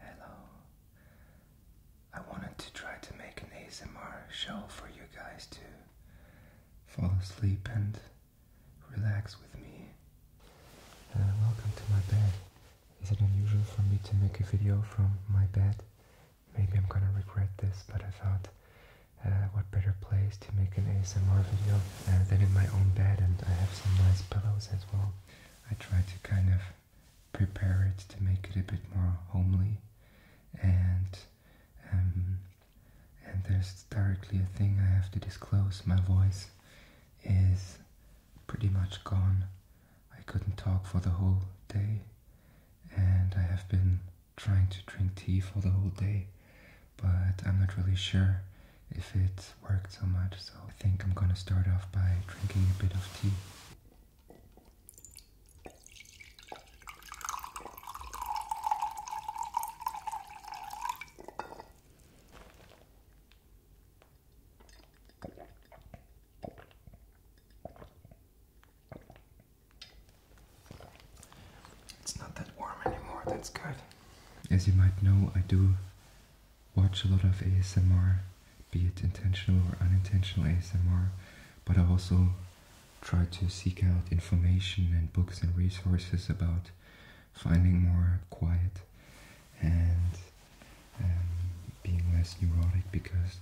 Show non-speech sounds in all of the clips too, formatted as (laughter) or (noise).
Hello. I wanted to try to make an ASMR show for you guys to fall asleep and relax with me. Uh, welcome to my bed. Is it unusual for me to make a video from my bed? Maybe I'm gonna regret this, but I thought uh, what better place to make an ASMR video uh, than in my own bed and I have some nice pillows as well. I try to kind of prepare it to make it a bit more homely and um, and there's directly a thing I have to disclose. My voice is pretty much gone. I couldn't talk for the whole day and I have been trying to drink tea for the whole day but I'm not really sure if it worked so much, so I think I'm gonna start off by drinking a bit of tea. It's not that warm anymore, that's good. As you might know, I do watch a lot of ASMR, be it intentional or unintentional ASMR, but I also try to seek out information and books and resources about finding more quiet and um, being less neurotic because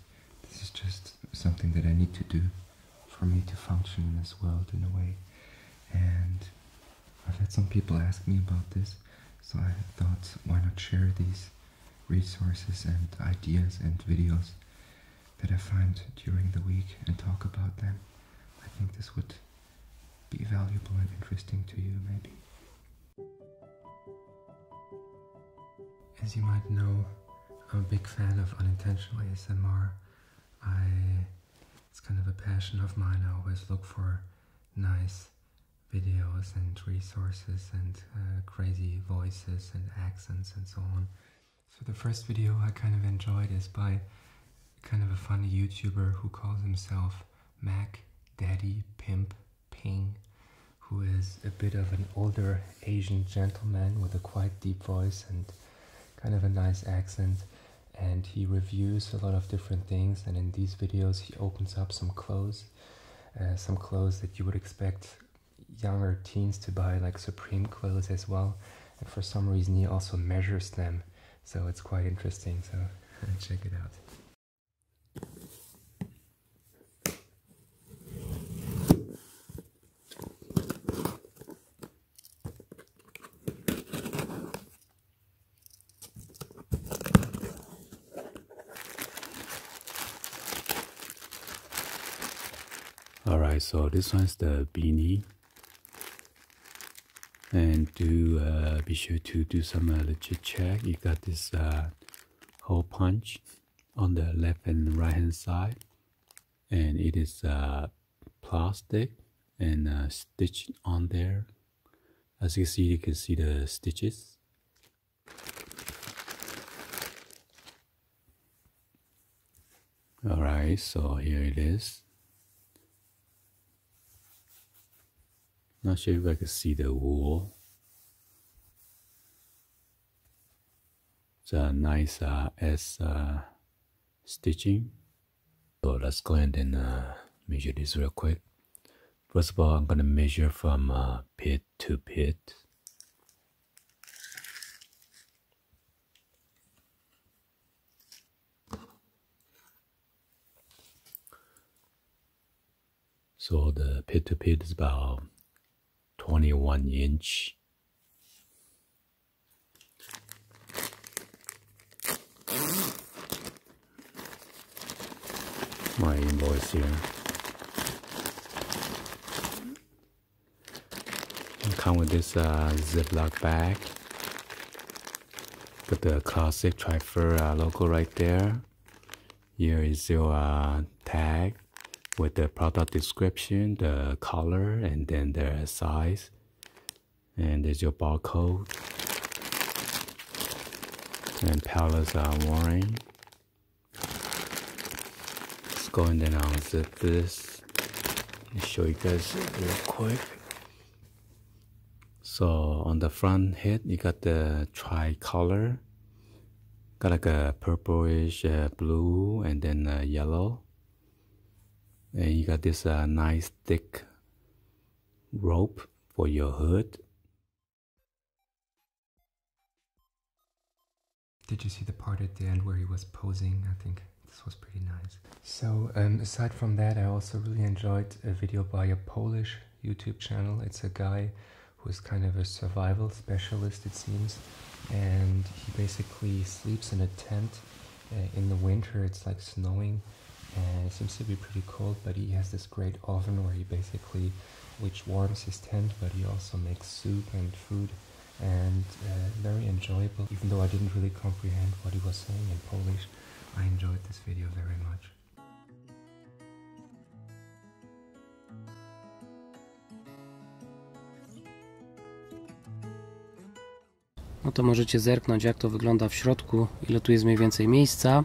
this is just something that I need to do for me to function in this world in a way. And I've had some people ask me about this so I thought, why not share these resources and ideas and videos that I find during the week and talk about them. I think this would be valuable and interesting to you, maybe. As you might know, I'm a big fan of unintentional ASMR. I, it's kind of a passion of mine. I always look for nice videos and resources and uh, crazy voices and accents and so on. So the first video I kind of enjoyed is by kind of a funny YouTuber who calls himself Mac Daddy Pimp Ping, who is a bit of an older Asian gentleman with a quite deep voice and kind of a nice accent and he reviews a lot of different things and in these videos he opens up some clothes uh, some clothes that you would expect younger teens to buy, like Supreme clothes as well. And for some reason, he also measures them, so it's quite interesting. So uh, check it out. All right, so this one's the beanie. And do uh, be sure to do some uh, legit check. You got this uh, hole punch on the left and right hand side, and it is uh, plastic and uh, stitched on there as you can see, you can see the stitches. Alright, so here it is. Not sure if I can see the wool. It's nice uh, uh, stitching. So let's go ahead and uh, measure this real quick. First of all, I'm going to measure from uh, pit to pit. So the pit to pit is about 21 inch my invoice here. And come with this uh, ziploc bag. Got the classic Trifer uh, logo right there. Here is your uh, tag with the product description, the color, and then the size. And there's your barcode and pallets are worn. Let's go in and then unzip this me show you guys real quick. So on the front head, you got the tricolor, got like a purplish uh, blue and then yellow. And you got this uh, nice thick rope for your hood did you see the part at the end where he was posing? I think this was pretty nice. So um, aside from that, I also really enjoyed a video by a Polish YouTube channel. It's a guy who is kind of a survival specialist, it seems. And he basically sleeps in a tent uh, in the winter. It's like snowing and it seems to be pretty cold but he has this great oven where he basically which warms his tent I didn't really comprehend what he was saying in Polish I enjoyed this video very much No to możecie zerknąć jak to wygląda w środku, ile tu jest mniej więcej miejsca.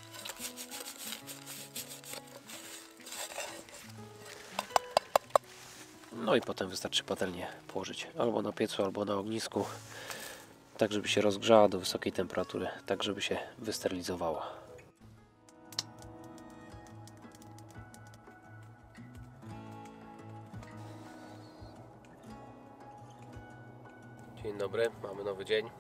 no i potem wystarczy patelnię położyć albo na piecu, albo na ognisku, tak żeby się rozgrzała do wysokiej temperatury, tak żeby się wysterylizowała. Dzień dobry, mamy nowy dzień.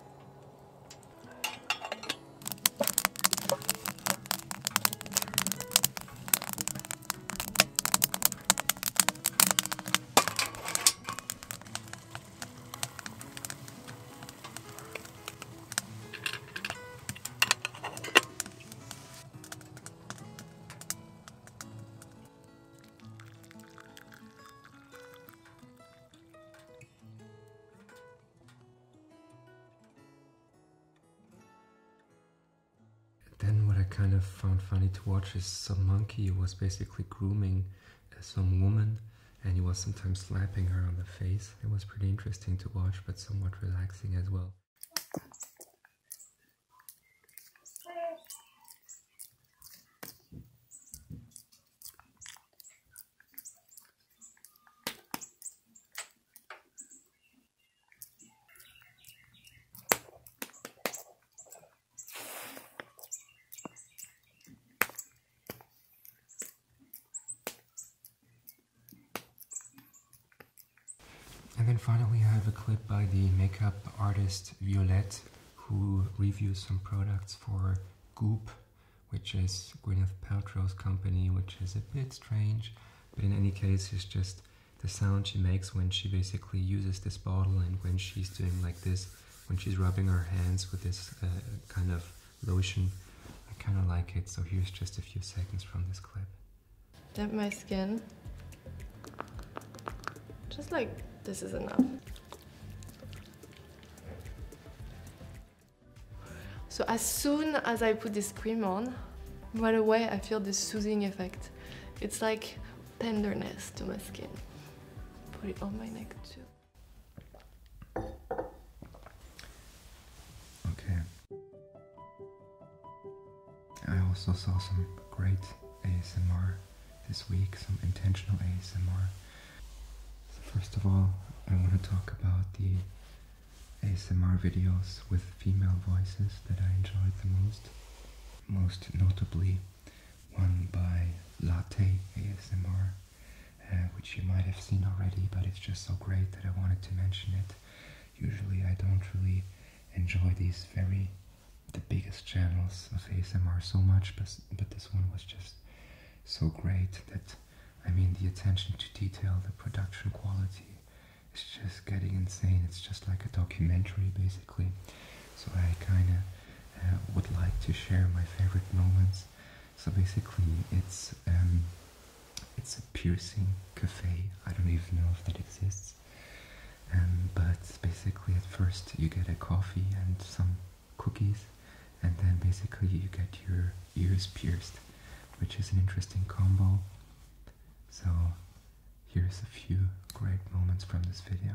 Then what I kind of found funny to watch is some monkey was basically grooming uh, some woman and he was sometimes slapping her on the face. It was pretty interesting to watch but somewhat relaxing as well. And then finally I have a clip by the makeup artist Violette who reviews some products for Goop, which is Gwyneth Paltrow's company, which is a bit strange, but in any case, it's just the sound she makes when she basically uses this bottle and when she's doing like this, when she's rubbing her hands with this uh, kind of lotion. I kind of like it, so here's just a few seconds from this clip. Damp my skin. Just like this is enough. So as soon as I put this cream on, right away I feel this soothing effect. It's like tenderness to my skin. Put it on my neck too. Okay. I also saw some great ASMR this week, some intentional ASMR. So first of all, I want to talk about the ASMR videos with female voices that I enjoyed the most. Most notably one by Latte ASMR, uh, which you might have seen already, but it's just so great that I wanted to mention it. Usually I don't really enjoy these very the biggest channels of ASMR so much, but, but this one was just so great that I mean the attention to detail, the production quality is just getting insane. It's just like a documentary basically. So I kind of uh, would like to share my favorite moments. So basically, it's um, it's a piercing cafe. I don't even know if that exists. Um, but basically, at first you get a coffee and some cookies, and then basically you get your ears pierced, which is an interesting combo. So here's a few great moments from this video.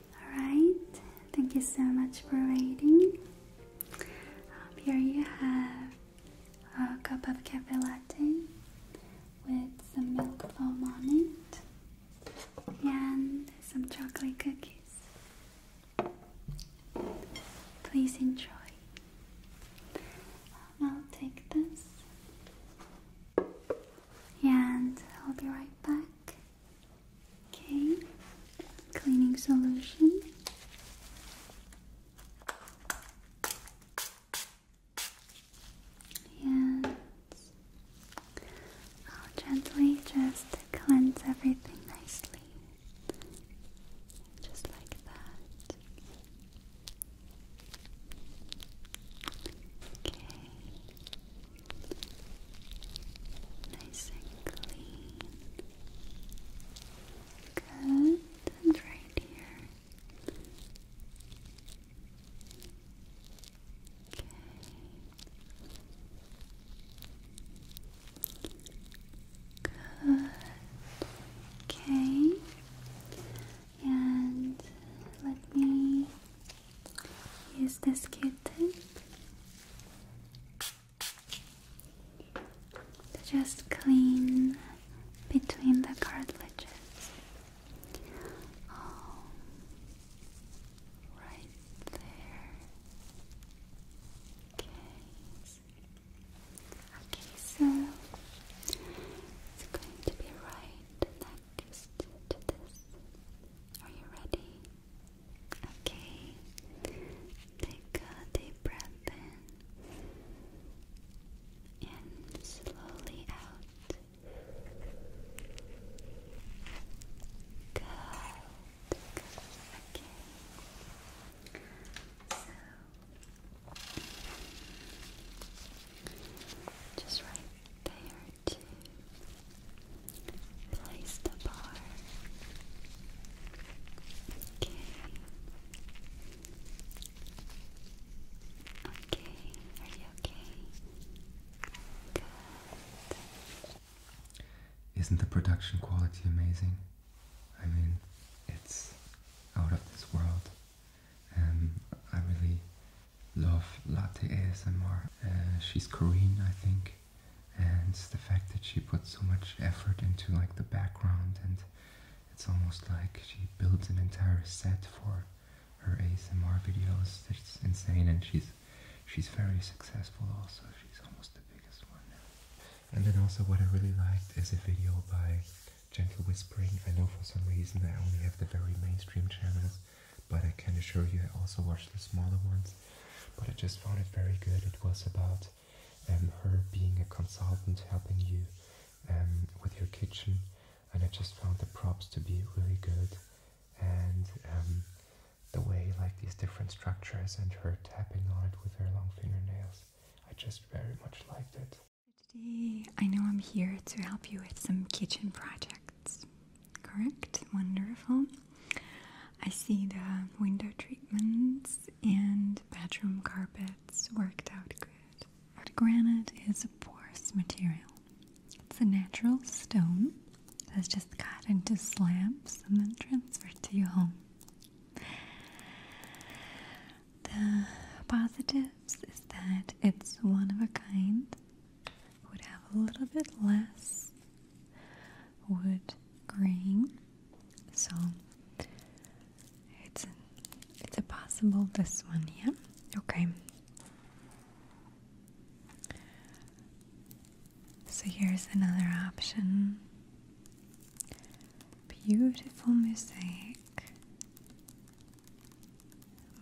Alright, thank you so much for waiting. Um, here you have a cup of cafe latte with some milk foam on it and some chocolate cookies. Please enjoy. Um, I'll take this and I'll be right back. Okay, cleaning solution. And I'll gently just cleanse everything nicely. Just like that. Okay. Nice and clean. Good. right here. Okay. Good. Okay. And let me use this q to just clean between the cartilages. Um, right there. Okay. Okay, so it's going to be right next to this. Are you ready? Okay, take a deep breath in and slowly out. Good, Okay, so just right there, too. Isn't the production quality amazing? I mean, it's out of this world. and um, I really love Latte ASMR. Uh, she's Korean, I think and it's the fact that she put so much effort into like the background and it's almost like she built an entire set for her ASMR videos. It's insane and she's she's very successful also. She's almost the biggest one now. And then also what I really liked is a video by Gentle Whispering. I know for some reason I only have the very mainstream channels, but I can assure you I also watch the smaller ones but I just found it very good. It was about um, her being a consultant, helping you um, with your kitchen, and I just found the props to be really good, and um, the way like these different structures and her tapping on it with her long fingernails, I just very much liked it. Today, I know I'm here to help you with some kitchen projects. Correct, wonderful. I see the window treatments and bedroom carpets worked out good. granite is a porous material. It's a natural stone that's just cut into slabs and then transferred to your home. The positives is that it's one of a kind, would have a little bit less wood grain. So it's a, it's possible this one, here. Okay. So here's another option. Beautiful mosaic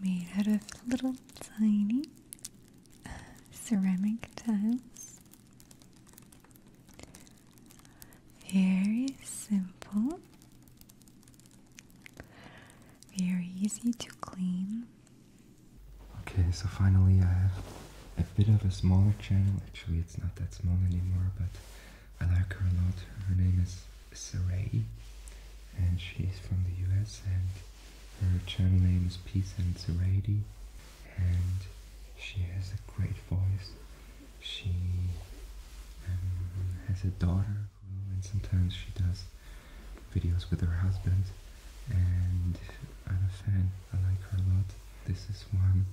made out of little tiny ceramic tiles. Very simple, very easy to clean. Okay, so finally I have a bit of a smaller channel. Actually, it's not that small anymore, but I like her a lot. Her name is Saray, and she's from the US and her channel name is Peace and Serenity, and she has a great voice. She um, has a daughter, and sometimes she does videos with her husband, and I'm a fan. I like her a lot. This is one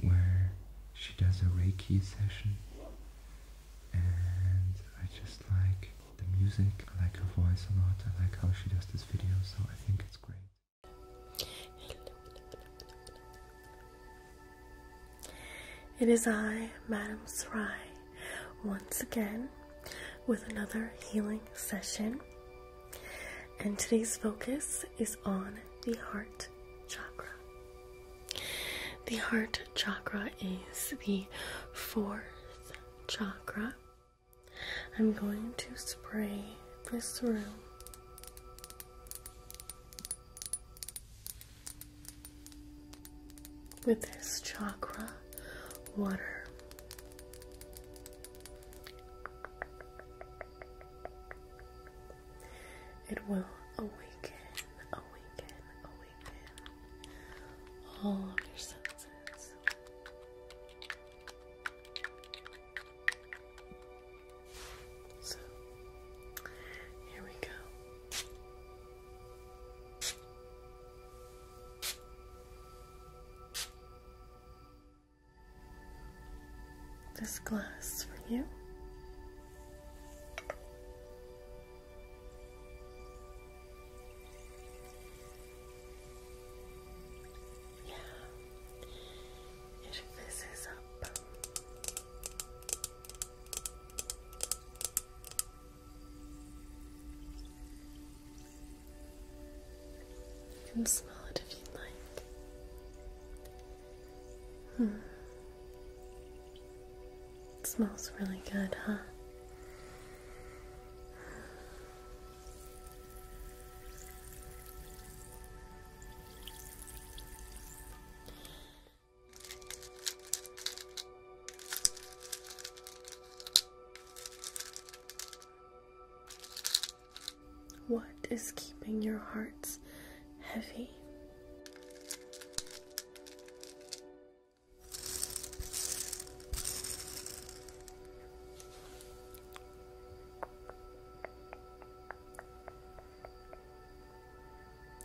where she does a Reiki session, and I just like the music. I like her voice a lot. I like how she does this video, so I think it's great. It is I, Madam Sarai, once again with another healing session. And today's focus is on the heart chakra. The heart chakra is the fourth chakra I'm going to spray this room With this chakra water, it will awaken, awaken, awaken all of your senses. So here we go. This glass for you. Yeah, it fizzes up. You can smell it if you'd like. Hmm. It smells really good, huh? What is keeping your hearts heavy?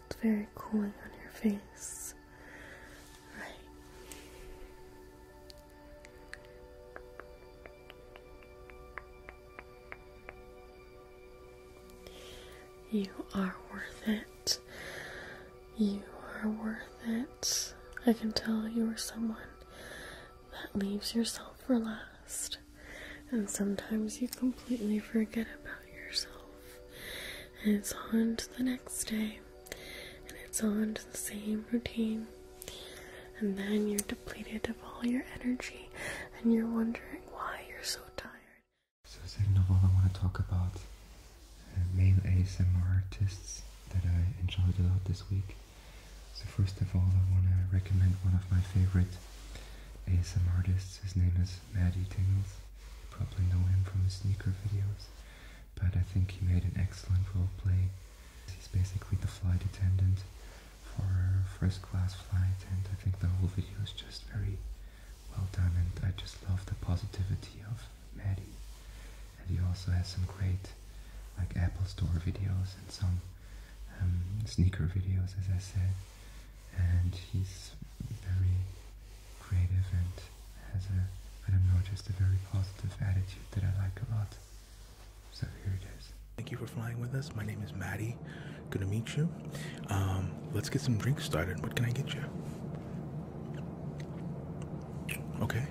It's very cooling on your face. You are worth it. You are worth it. I can tell you are someone that leaves yourself for last. And sometimes you completely forget about yourself. And it's on to the next day. And it's on to the same routine. And then you're depleted of all your energy. And you're wondering why you're so tired. So the second of all, I want to talk about uh, male ASMR artists that I enjoyed a lot this week. So first of all, I want to recommend one of my favorite ASM artists. His name is Maddie Tingles. You probably know him from his sneaker videos, but I think he made an excellent role play. He's basically the flight attendant for first class flight, and I think the whole video is just very well done, and I just love the positivity of Maddie. And he also has some great like Apple Store videos and some um, sneaker videos, as I said. And he's very creative and has a, I don't know, just a very positive attitude that I like a lot. So here it is. Thank you for flying with us. My name is Maddie. Good to meet you. Um, let's get some drinks started. What can I get you? Okay.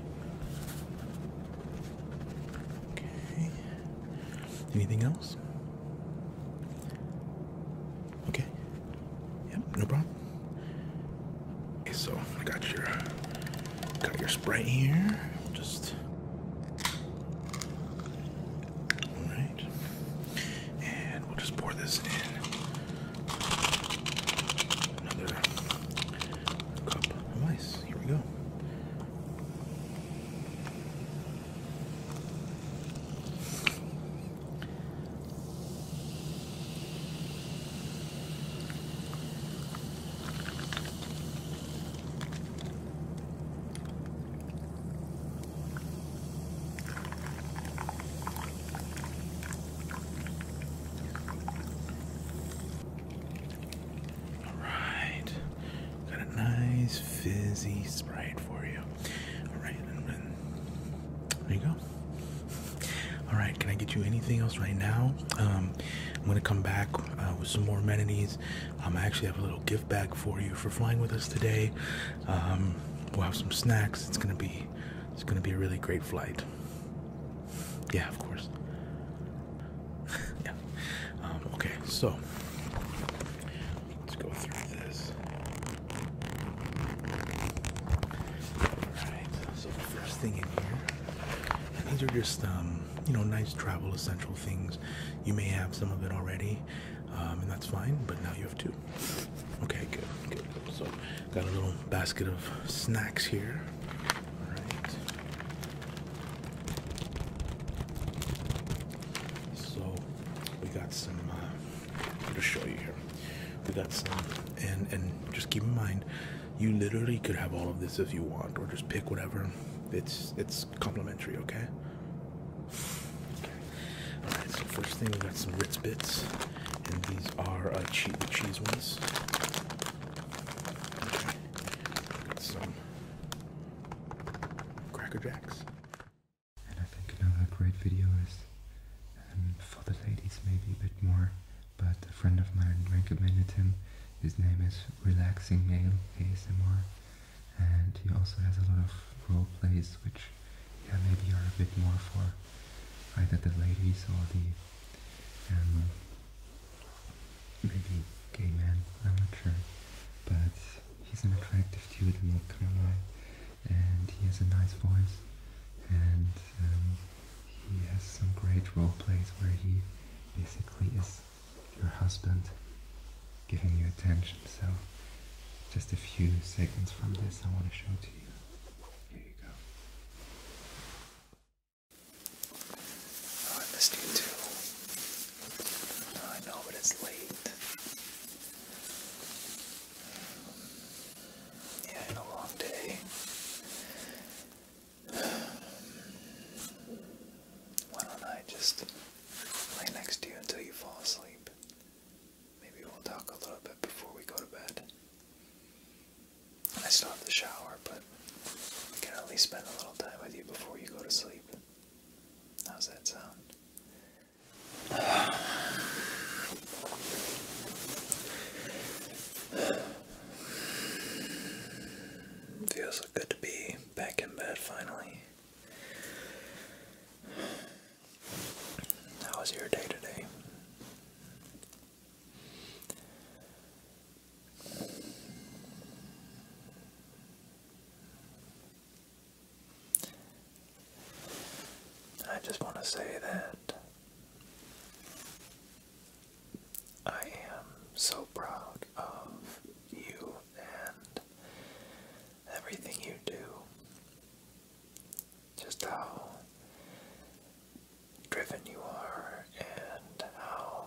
Okay. Anything else? Okay. Yep, no problem. Okay, so I got your got your spray here. Just all right, and we'll just pour this in another cup of ice yes, here we go. Alright. Got a nice fizzy sprite for you. Alright, there you go. Alright, can I get you anything else right now? Um, I'm gonna come back uh, with some more amenities. Um, I actually have a little gift bag for you for flying with us today. Um, we'll have some snacks. It's gonna be it's gonna be a really great flight. Yeah, of course. (laughs) yeah. Um, okay, so let's go through this. Alright, so first thing in here, these are just, um, you know, nice travel essential things. You may have some of it already, um, and that's fine, but now you have two. Okay, good, good. So, got a little basket of snacks here. Alright. So we got some uh I'll just show you here. We got some and and just keep in mind you literally could have all of this if you want or just pick whatever. It's it's complimentary, okay? Alright, so first thing we got some Ritz bits and these are uh, cheese the cheese ones some Cracker Jacks. And I think another great video is um, for the ladies maybe a bit more, but a friend of mine recommended him. His name is Relaxing Male ASMR and he also has a lot of role plays which yeah, maybe are a bit more for either the ladies or the um, maybe gay man, I'm not sure. But he's an attractive dude, And he has a nice voice. And um, he has some great role plays where he basically is your husband giving you attention. So just a few seconds from this I want to show to you. Here you go. I missed you too. I know, but it's late. Yeah, I a long day. Why don't I just lay next to you until you fall asleep? Maybe we'll talk a little bit before we go to bed. I still have to shower, but I can at least spend a little time with you before you go to sleep. How's that sound? (sighs) Feels so good to be back in bed finally. How was your day today? I just want to say that I am so proud of you and everything you do. Just how driven you are and how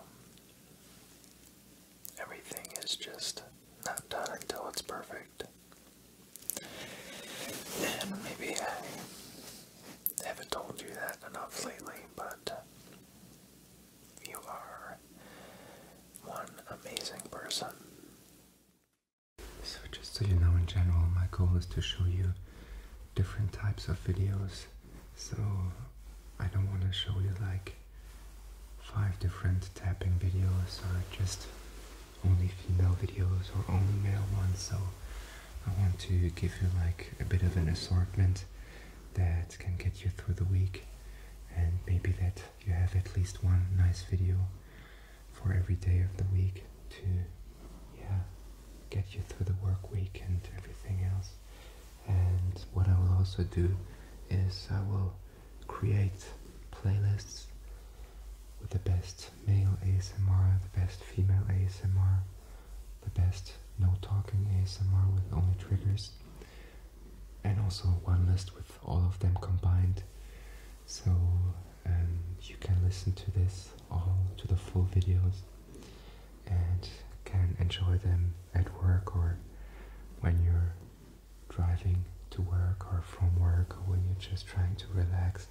everything is just not done until it's perfect. And maybe I haven't told you that enough lately, but you are one amazing person. So, just so you know, in general, my goal is to show you different types of videos so I don't want to show you like five different tapping videos or just only female videos or only male ones so I want to give you like a bit of an assortment that can get you through the week and maybe that you have at least one nice video for every day of the week to yeah get you through the work week and everything else and what I will also do is I will create playlists with the best male ASMR, the best female ASMR, the best no talking ASMR with only triggers and also one list with all of them combined so um, you can listen to this all to the full videos and can enjoy them at work or when you're driving to work or from work or when you're just trying to relax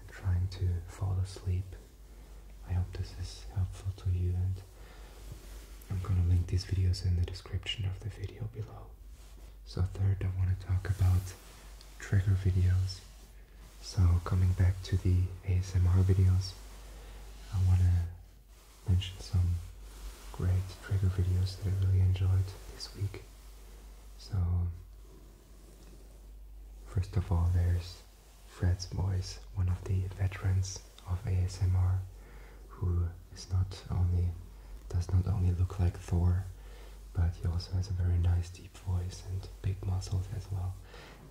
and trying to fall asleep. I hope this is helpful to you and I'm gonna link these videos in the description of the video below. So third I want to talk about trigger videos so coming back to the ASMR videos, I want to mention some great trigger videos that I really enjoyed this week. So first of all there's Fred's voice, one of the veterans of ASMR who is not only does not only look like Thor, but he also has a very nice deep voice and big muscles as well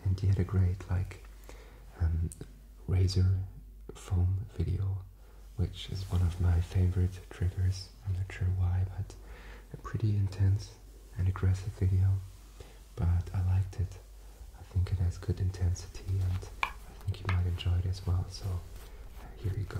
and he had a great like um, razor foam video, which is one of my favorite triggers. I'm not sure why, but a pretty intense and aggressive video, but I liked it. I think it has good intensity, and I think you might enjoy it as well. So uh, here you go.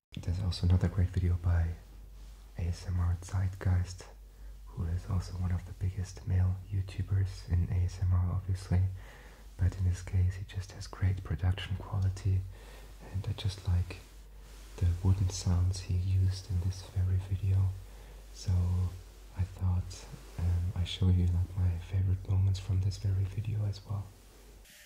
There's also another great video by ASMR Zeitgeist, who is also one of the biggest male YouTubers in ASMR, obviously. But in this case, he just has great production quality, and I just like the wooden sounds he used in this very video. So I thought um, I show you like my favorite moments from this very video as well.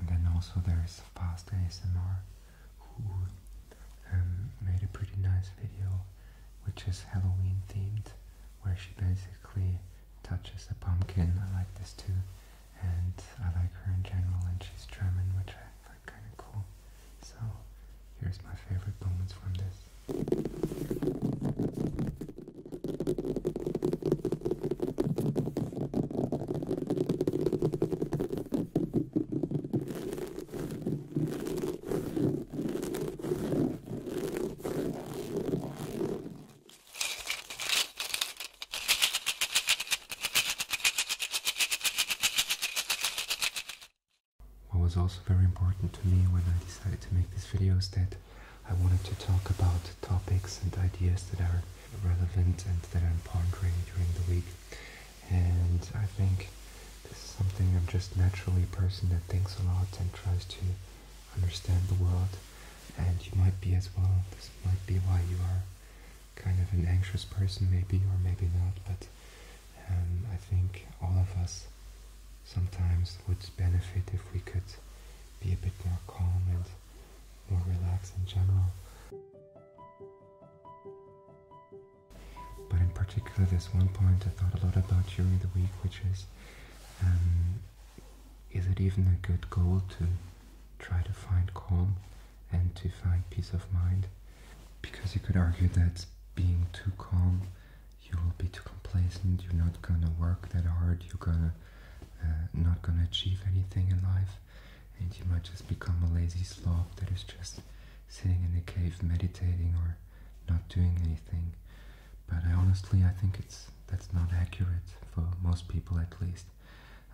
And then also there's Fast ASMR who um, made a pretty nice video which is Halloween themed where she basically touches a pumpkin. I like this too and I like her in general and she's German which I find kind of cool. So here's my favorite moments from this. What was also very important to me when I decided to make this video is that I wanted to talk about topics and ideas that are relevant and that I'm pondering during the week. And I think this is something I'm just naturally a person that thinks a lot and tries to understand the world. And you might be as well. This might be why you are kind of an anxious person, maybe, or maybe not. But um, I think all of us sometimes would benefit if we could be a bit more calm and more relaxed in general. But in particular, there's one point I thought a lot about during the week, which is um, is it even a good goal to try to find calm and to find peace of mind? Because you could argue that being too calm you will be too complacent, you're not gonna work that hard, you're gonna uh, not gonna achieve anything in life, and you might just become a lazy slob that is just sitting in a cave meditating or not doing anything. But honestly, I think it's that's not accurate for most people at least.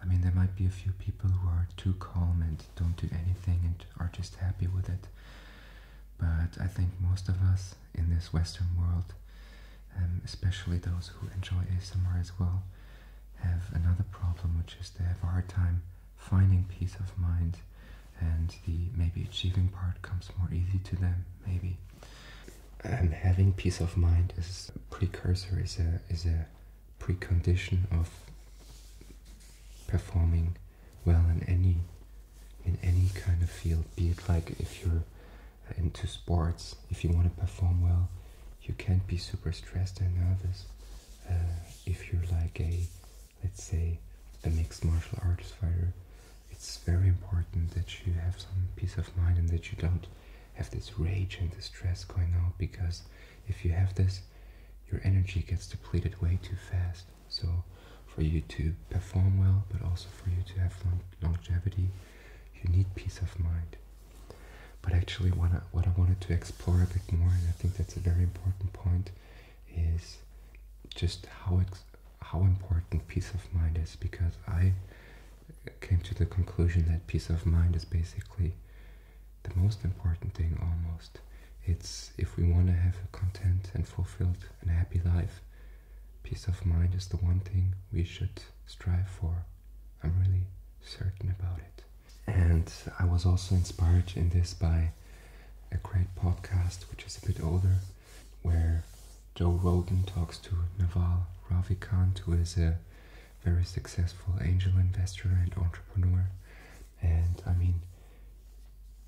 I mean, there might be a few people who are too calm and don't do anything and are just happy with it. But I think most of us in this Western world, um, especially those who enjoy ASMR as well, have another problem, which is they have a hard time finding peace of mind, and the maybe achieving part comes more easy to them, maybe. Um, having peace of mind is a precursor, is a is a precondition of performing well in any in any kind of field, be it like if you're into sports, if you want to perform well, you can't be super stressed and nervous. Uh, if you're like a, let's say, a mixed martial arts fighter, it's very important that you have some peace of mind and that you don't have this rage and this stress going out because if you have this, your energy gets depleted way too fast. So for you to perform well, but also for you to have long longevity, you need peace of mind. But actually, what I, what I wanted to explore a bit more, and I think that's a very important point, is just how how important peace of mind is. Because I came to the conclusion that peace of mind is basically the most important thing, almost. It's if we want to have a content and fulfilled and happy life, Peace of mind is the one thing we should strive for. I'm really certain about it. And I was also inspired in this by a great podcast, which is a bit older, where Joe Rogan talks to Naval Ravikant, who is a very successful angel investor and entrepreneur. And I mean,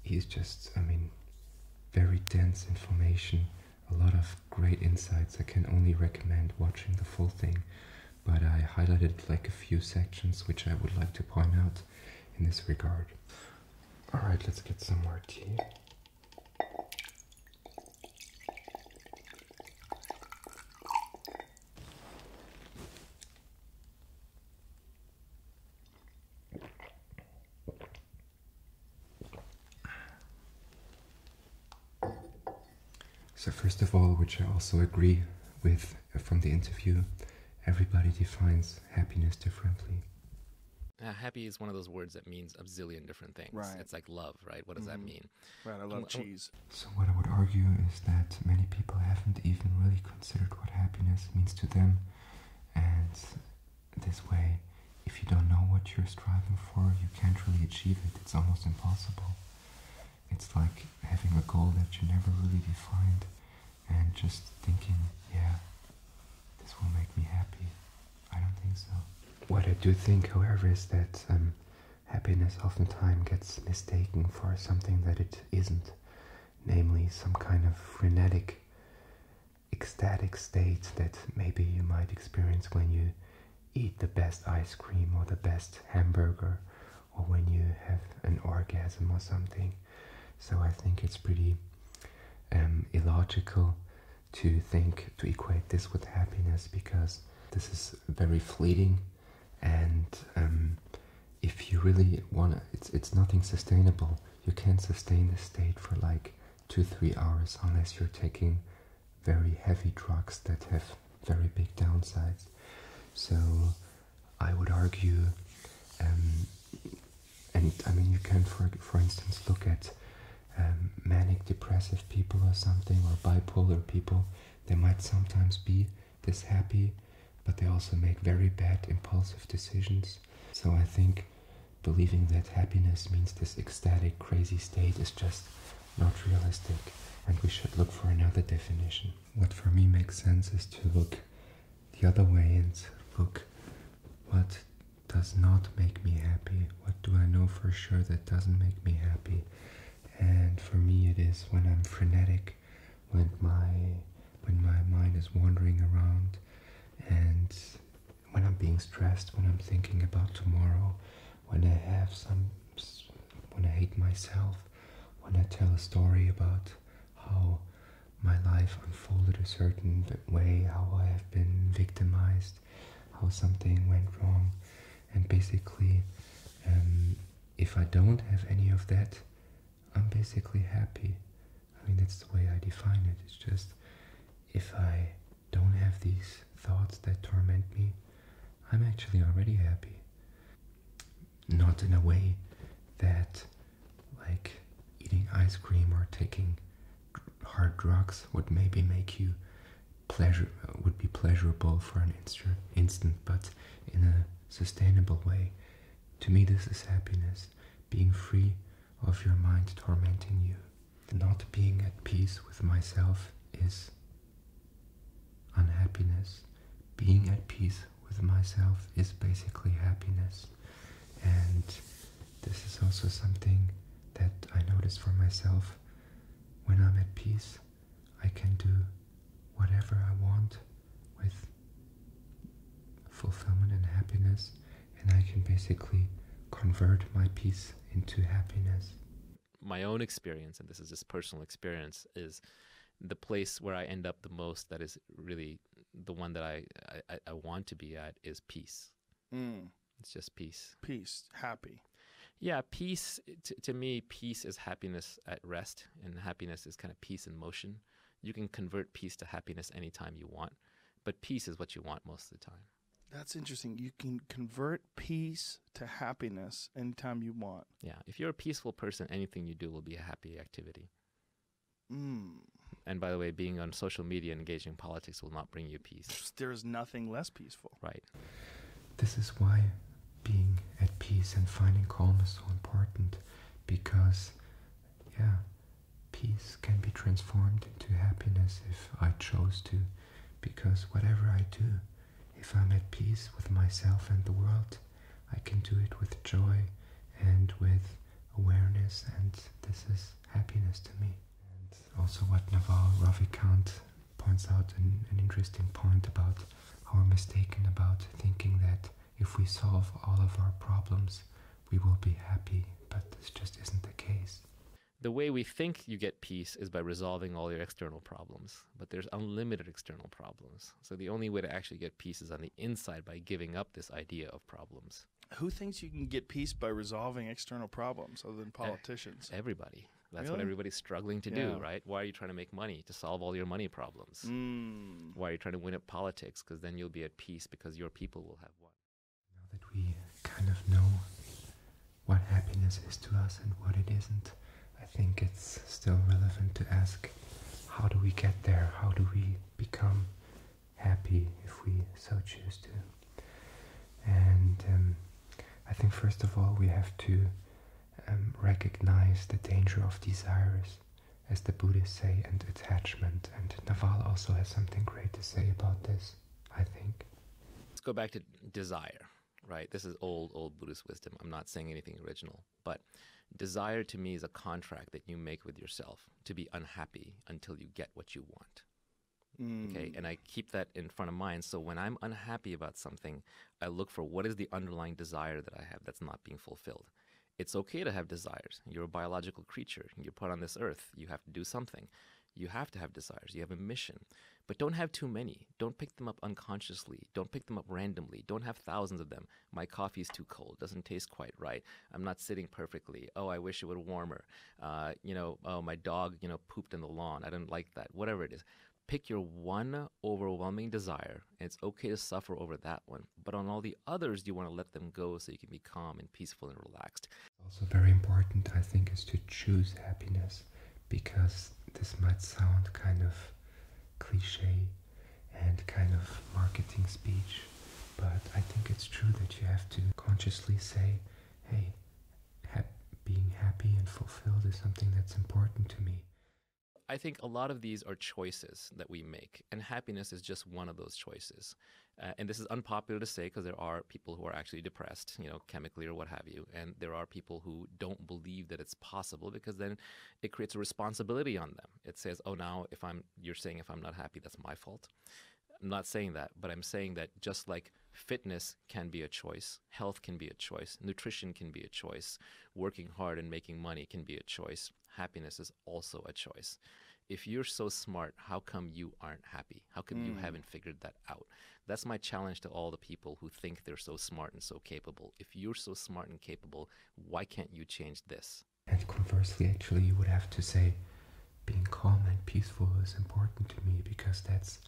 he's just, I mean, very dense information, a lot of great insights. I can only recommend watching the full thing, but I highlighted like a few sections which I would like to point out in this regard. Alright, let's get some more tea. So first of all, which I also agree with from the interview, everybody defines happiness differently. Uh, happy is one of those words that means a zillion different things. Right. It's like love, right? What does that mm-hmm. mean? Right, I love um, um, cheese. So what I would argue is that many people haven't even really considered what happiness means to them, and this way, if you don't know what you're striving for, you can't really achieve it. It's almost impossible. It's like having a goal that you never really defined and just thinking, yeah, this will make me happy. I don't think so. What I do think, however, is that um, happiness oftentimes gets mistaken for something that it isn't, namely some kind of frenetic ecstatic state that maybe you might experience when you eat the best ice cream or the best hamburger or when you have an orgasm or something. So I think it's pretty um, illogical to think to equate this with happiness because this is very fleeting and um, if you really want it's, it's nothing sustainable you can't sustain this state for like two, three hours unless you're taking very heavy drugs that have very big downsides. So I would argue, um, and I mean, you can, for, for instance, look at um, manic depressive people or something, or bipolar people. They might sometimes be this happy, but they also make very bad impulsive decisions so I think believing that happiness means this ecstatic, crazy state is just not realistic, and we should look for another definition. What for me makes sense is to look the other way and look what does not make me happy, what do I know for sure that doesn't make me happy. And for me, it is when I'm frenetic, when my when my mind is wandering around and when I'm being stressed, when I'm thinking about tomorrow, when I have some, when I hate myself, when I tell a story about how my life unfolded a certain way, how I have been victimized, how something went wrong, and basically, um, if I don't have any of that, I'm basically happy. I mean, that's the way I define it. It's just if I don't have these thoughts that torment me, I'm actually already happy. Not in a way that, like, eating ice cream or taking hard drugs would maybe make you pleasure would be pleasurable for an instant but in a sustainable way to me this is happiness being free of your mind tormenting you. Not being at peace with myself is unhappiness. Being at peace with myself is basically happiness. And this is also something that I notice for myself. When I'm at peace, I can do whatever I want with fulfillment and happiness, and I can basically convert my peace into happiness. My own experience, and this is just personal experience, is the place where I end up the most that is really the one that I, I, want to be at is peace. Mm. It's just peace. Peace, happy. Yeah, peace, to me, peace is happiness at rest, and happiness is kind of peace in motion you can convert peace to happiness anytime you want, but peace is what you want most of the time. That's interesting. You can convert peace to happiness anytime you want. Yeah. If you're a peaceful person, anything you do will be a happy activity. Hmm. And by the way, being on social media engaging politics will not bring you peace. There is nothing less peaceful. Right. This is why being at peace and finding calm is so important because, yeah, peace can be transformed into happiness if I chose to, because whatever I do, if I'm at peace with myself and the world, I can do it with joy and with awareness, and this is happiness to me. And also, what Navar Ravi Kant points out an, an interesting point about how we're mistaken about thinking that if we solve all of our problems, we will be happy, but this just isn't the case. The way we think you get peace is by resolving all your external problems, but there's unlimited external problems. So the only way to actually get peace is on the inside by giving up this idea of problems. Who thinks you can get peace by resolving external problems other than politicians? Everybody. That's what everybody's struggling to do, right? Why are you trying to make money to solve all your money problems? Hmm. Why are you trying to win at politics? Because then you'll be at peace because your people will have won. Now that we kind of know what happiness is to us and what it isn't, I think it's still relevant to ask how do we get there? How do we become happy if we so choose to? And um, I think, first of all, we have to um, recognize the danger of desires as the Buddhists say, and attachment. And Naval also has something great to say about this, I think. Let's go back to desire, right? This is old, old Buddhist wisdom. I'm not saying anything original, but desire to me is a contract that you make with yourself to be unhappy until you get what you want. Okay, mm. and I keep that in front of mind. So when I'm unhappy about something, I look for what is the underlying desire that I have that's not being fulfilled it's okay to have desires. You're a biological creature. You're put on this earth. You have to do something. You have to have desires. You have a mission. But don't have too many. Don't pick them up unconsciously. Don't pick them up randomly. Don't have thousands of them. My coffee is too cold. Doesn't taste quite right. I'm not sitting perfectly. Oh, I wish it would warmer. Uh, you know, oh, my dog, you know, pooped in the lawn. I didn't like that. Whatever it is. Pick your one overwhelming desire, it's okay to suffer over that one. But on all the others, you want to let them go so you can be calm and peaceful and relaxed. Also, very important, I think, is to choose happiness because this might sound kind of cliche and kind of marketing speech, but I think it's true that you have to consciously say, hey, being happy and fulfilled is something that's important to me. I think a lot of these are choices that we make, and happiness is just one of those choices. Uh, and this is unpopular to say because there are people who are actually depressed, you know, chemically or what have you. And there are people who don't believe that it's possible because then it creates a responsibility on them. It says, oh, now if I'm, you're saying if I'm not happy, that's my fault. I'm not saying that, but I'm saying that just like fitness can be a choice, health can be a choice, nutrition can be a choice, working hard and making money can be a choice, happiness is also a choice. If you're so smart, how come you aren't happy? How come you mm. haven't figured that out? That's my challenge to all the people who think they're so smart and so capable. If you're so smart and capable, why can't you change this? And conversely, actually, you would have to say, being calm and peaceful is important to me because that's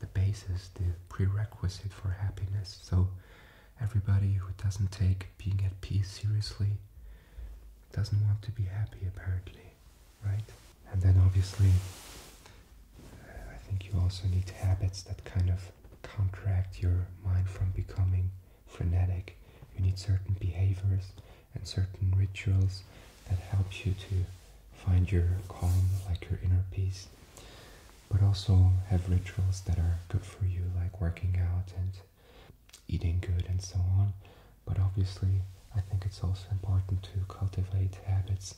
the basis, the prerequisite for happiness. So, everybody who doesn't take being at peace seriously doesn't want to be happy apparently, right? And then obviously, uh, I think you also need habits that kind of counteract your mind from becoming frenetic. You need certain behaviors and certain rituals that helps you to find your calm, like your inner peace. But also have rituals that are good for you, like working out and eating good and so on. But obviously, I think it's also important to cultivate habits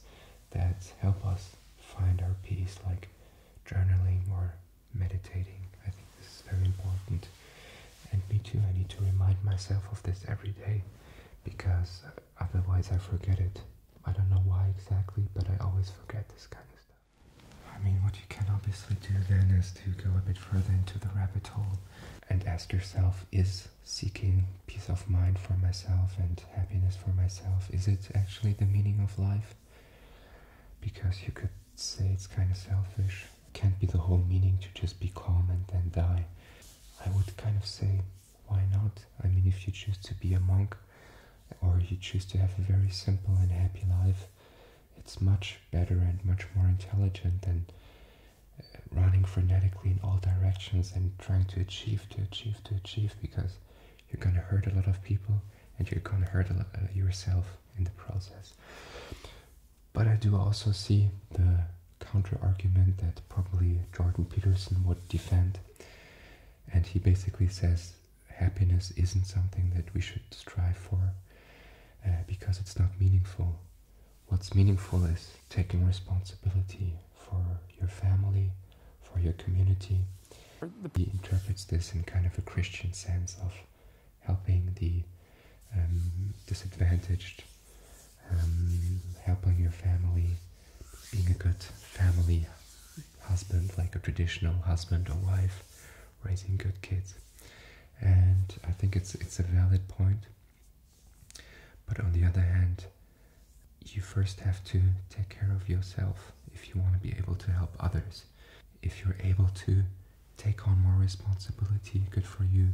that help us find our peace, like journaling or meditating. I think this is very important. And me too, I need to remind myself of this every day because otherwise I forget it. I don't know why exactly, but I always forget this kind of stuff. I mean, what you can obviously do then is to go a bit further into the rabbit hole and ask yourself is seeking peace of mind for myself and happiness for myself is it actually the meaning of life because you could say it's kind of selfish can't be the whole meaning to just be calm and then die i would kind of say why not i mean if you choose to be a monk or you choose to have a very simple and happy life it's much better and much more intelligent than uh, running frenetically in all directions and trying to achieve, to achieve, to achieve, because you're going to hurt a lot of people and you're going to hurt uh, yourself in the process. But I do also see the counter argument that probably Jordan Peterson would defend. And he basically says happiness isn't something that we should strive for uh, because it's not meaningful. What's meaningful is taking responsibility for your family, for your community. He interprets this in kind of a Christian sense of helping the um, disadvantaged, um, helping your family, being a good family husband, like a traditional husband or wife, raising good kids and I think it's it's a valid point. But on the other hand, you first have to take care of yourself if you want to be able to help others. If you're able to take on more responsibility, good for you.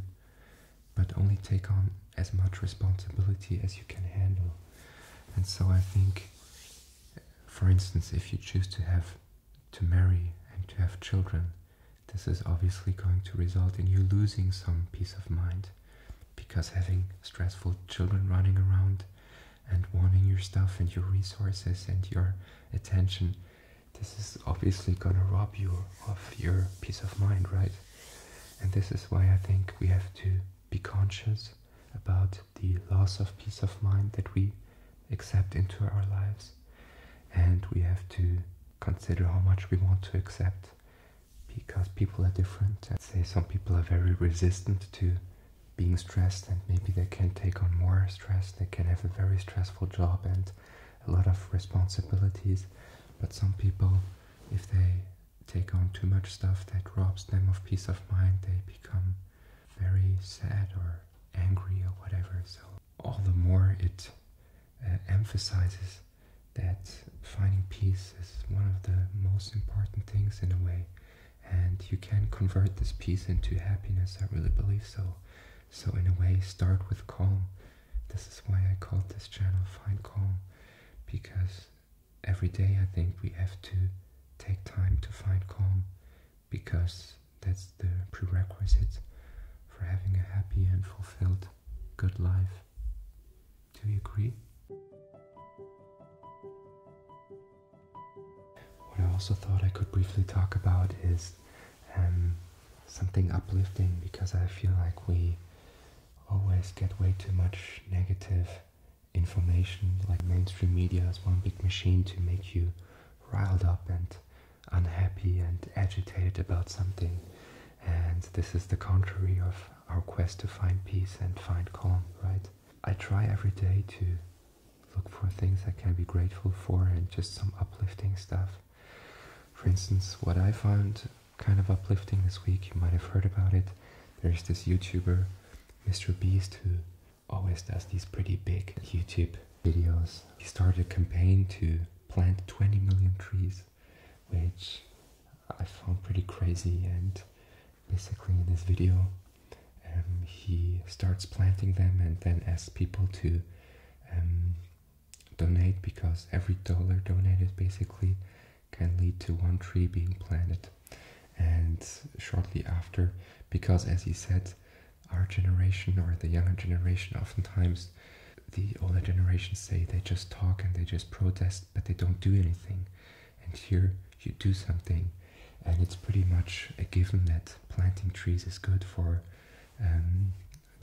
But only take on as much responsibility as you can handle. And so I think, for instance, if you choose to have to marry and to have children, this is obviously going to result in you losing some peace of mind because having stressful children running around and wanting your stuff and your resources and your attention, this is obviously going to rob you of your peace of mind, right? And this is why I think we have to be conscious about the loss of peace of mind that we accept into our lives. And we have to consider how much we want to accept because people are different. i say some people are very resistant to being stressed and maybe they can take on more stress. They can have a very stressful job and a lot of responsibilities. But some people, if they take on too much stuff that robs them of peace of mind, they become very sad or angry or whatever. So all the more it uh, emphasizes that finding peace is one of the most important things in a way and you can convert this peace into happiness i really believe so so in a way start with calm this is why i called this channel find calm because every day i think we have to take time to find calm because that's the prerequisite for having a happy and fulfilled good life. Do you agree? What I also thought I could briefly talk about is um, something uplifting because I feel like we always get way too much negative information. Like mainstream media is one big machine to make you riled up and unhappy and agitated about something. And this is the contrary of our quest to find peace and find calm, right? I try every day to look for things I can be grateful for and just some uplifting stuff. For instance, what I found kind of uplifting this week, you might have heard about it. There's this YouTuber, Mr. Beast, who always does these pretty big YouTube videos, he started a campaign to plant 20 million trees, which I found pretty crazy. And basically, in this video, um, he starts planting them and then asks people to um, donate because every dollar donated basically can lead to one tree being planted. And shortly after, because as he said, our generation or the younger generation oftentimes the older generations say they just talk and they just protest but they don't do anything and here you do something and it's pretty much a given that planting trees is good for um,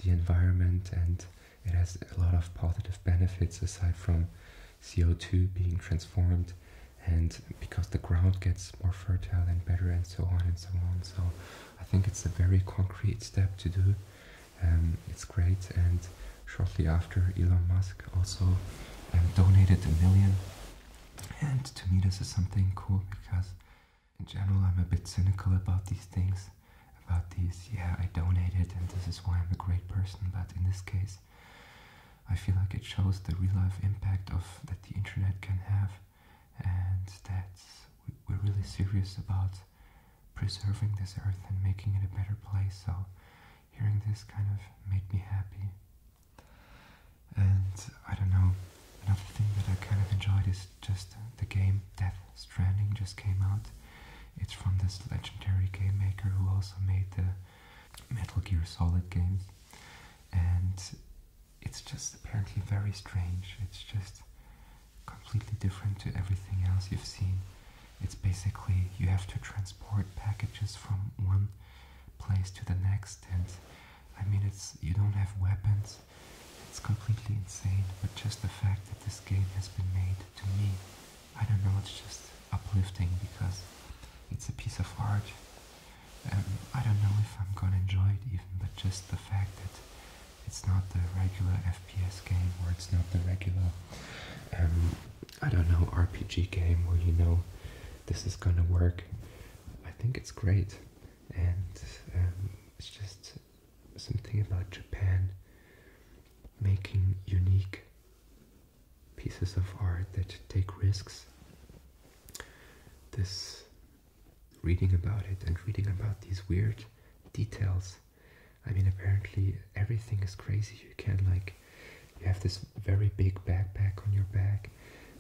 the environment and it has a lot of positive benefits aside from CO2 being transformed and because the ground gets more fertile and better and so on and so on so I think it's a very concrete step to do. Um, it's great, and shortly after, Elon Musk also um, donated a million. And to me, this is something cool because, in general, I'm a bit cynical about these things. About these, yeah, I donated, and this is why I'm a great person. But in this case, I feel like it shows the real life impact of that the internet can have and that we're really serious about preserving this earth and making it a better place. So hearing this kind of made me happy. And I don't know, another thing that I kind of enjoyed is just the game Death Stranding just came out. It's from this legendary game maker who also made the Metal Gear Solid games. And it's just apparently very strange. It's just completely different to everything else you've seen. It's basically you have to transport packages from one place to the next and I mean it's you don't have weapons. It's completely insane, but just the fact that this game has been made to me, I don't know, it's just uplifting because it's a piece of art. Um, I don't know if I'm gonna enjoy it even, but just the fact that it's not the regular FPS game, or it's not the regular, um, I don't know, RPG game where you know this is gonna work. I think it's great, and um, it's just something about Japan making unique pieces of art that take risks. This reading about it and reading about these weird details. I mean, apparently everything is crazy. You can like, you have this very big backpack on your back,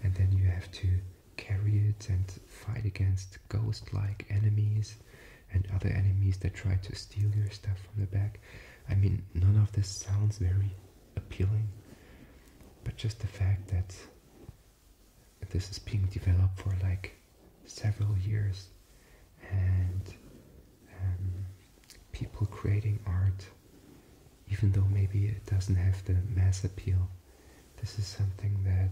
and then you have to carry it and fight against ghost-like enemies and other enemies that try to steal your stuff from the back. I mean, none of this sounds very appealing, but just the fact that this is being developed for like several years and um, people creating art even though maybe it doesn't have the mass appeal this is something that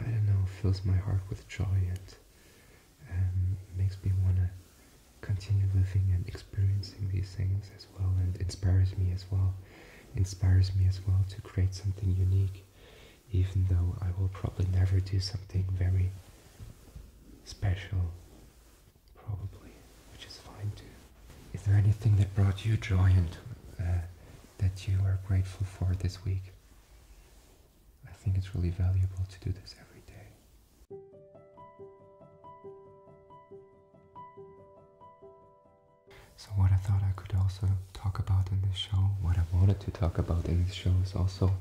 i don't know fills my heart with joy and um, makes me want to continue living and experiencing these things as well and inspires me as well inspires me as well to create something unique even though I will probably never do something very special, probably, which is fine too. Is there anything that brought you joy and uh, that you are grateful for this week? I think it's really valuable to do this every day. So what I thought I could also talk about in this show, what I wanted to talk about in this show is also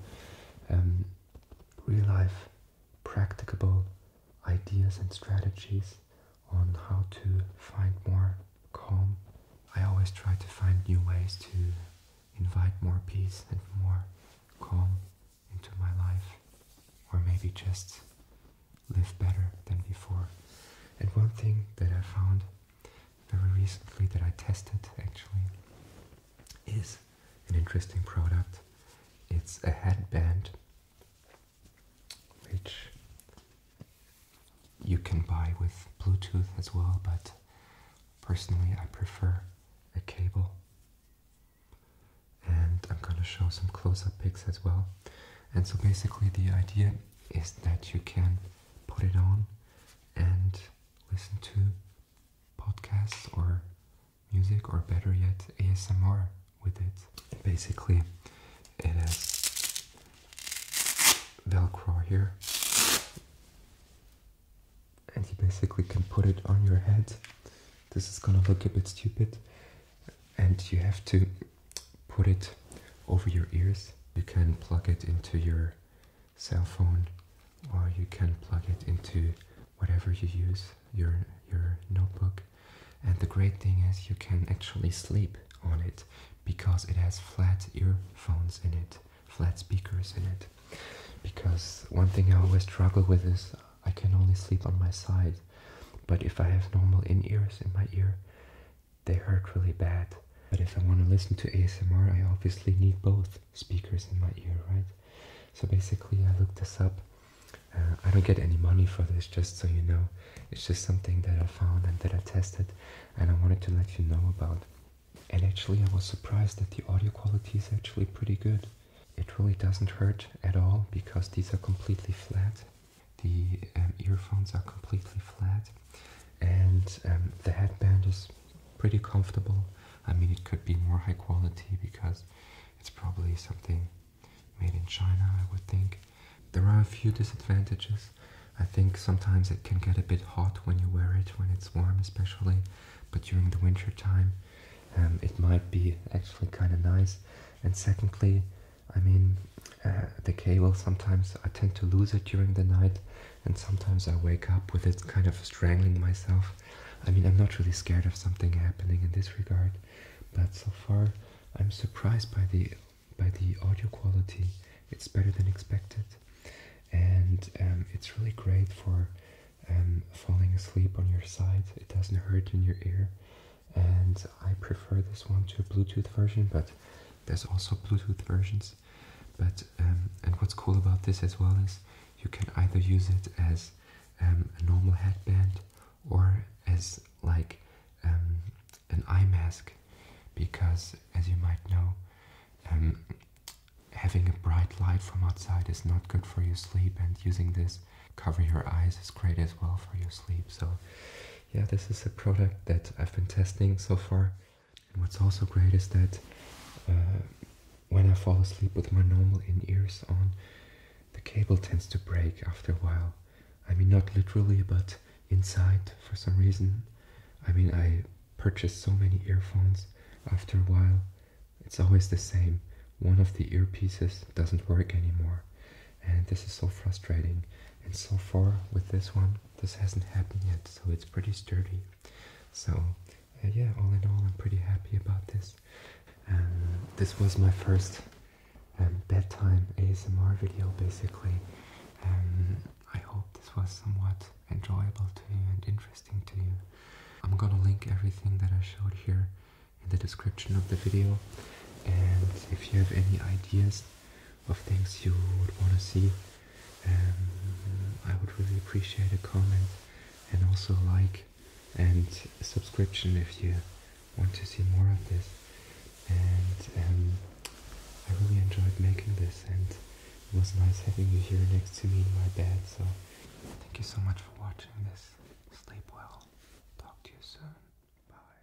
um, real life practicable ideas and strategies on how to find more calm. I always try to find new ways to invite more peace and more calm into my life, or maybe just live better than before. And one thing that I found very recently that I tested actually is an interesting product. It's a headband which you can buy with Bluetooth as well, but personally I prefer a cable. And I'm going to show some close-up pics as well. And so basically the idea is that you can put it on and listen to podcasts or music, or better yet, ASMR with it. Basically, it has Velcro here, and you basically can put it on your head. This is gonna look a bit stupid, and you have to put it over your ears. You can plug it into your cell phone or you can plug it into whatever you use, your, your notebook. And the great thing is you can actually sleep on it because it has flat earphones in it, flat speakers in it. Because one thing I always struggle with is I can only sleep on my side. But if I have normal in-ears in my ear, they hurt really bad. But if I want to listen to ASMR, I obviously need both speakers in my ear, right? So basically, I looked this up. Uh, I don't get any money for this, just so you know. It's just something that I found and that I tested, and I wanted to let you know about. And actually, I was surprised that the audio quality is actually pretty good. It really doesn't hurt at all because these are completely flat the um, earphones are completely flat and um, the headband is pretty comfortable. I mean, it could be more high quality because it's probably something made in China, I would think. There are a few disadvantages. I think sometimes it can get a bit hot when you wear it, when it's warm especially, but during the winter time um, it might be actually kind of nice. And secondly, I mean, uh, the cable sometimes I tend to lose it during the night, and sometimes I wake up with it kind of strangling myself. I mean, I'm not really scared of something happening in this regard, but so far I'm surprised by the by the audio quality. It's better than expected, and um, it's really great for um, falling asleep on your side. It doesn't hurt in your ear, and I prefer this one to a Bluetooth version, but there's also Bluetooth versions. But um, and what's cool about this as well is you can either use it as um, a normal headband or as like um, an eye mask, because as you might know, having a bright light from outside is not good for your sleep, and using this cover your eyes is great as well for your sleep. So yeah, this is a product that I've been testing so far. what's also great is that uh, when I fall asleep with my normal in-ears on, the cable tends to break after a while. I mean, not literally, but inside for some reason. I mean, I purchased so many earphones after a while. It's always the same. One of the earpieces doesn't work anymore. And this is so frustrating. And so far with this one, this hasn't happened yet, so it's pretty sturdy. So uh, yeah, all in all, I'm pretty happy about this. Um, this was my first um, bedtime ASMR video, basically. Um, I hope this was somewhat enjoyable to you and interesting to you. I'm gonna link everything that I showed here in the description of the video. And if you have any ideas of things you would want to see. Um, I would really appreciate a comment and also like and subscription if you want to see more of this. And um, I really enjoyed making this and it was nice having you here next to me in my bed. So thank you so much for watching this. Sleep well. Talk to you soon. Bye.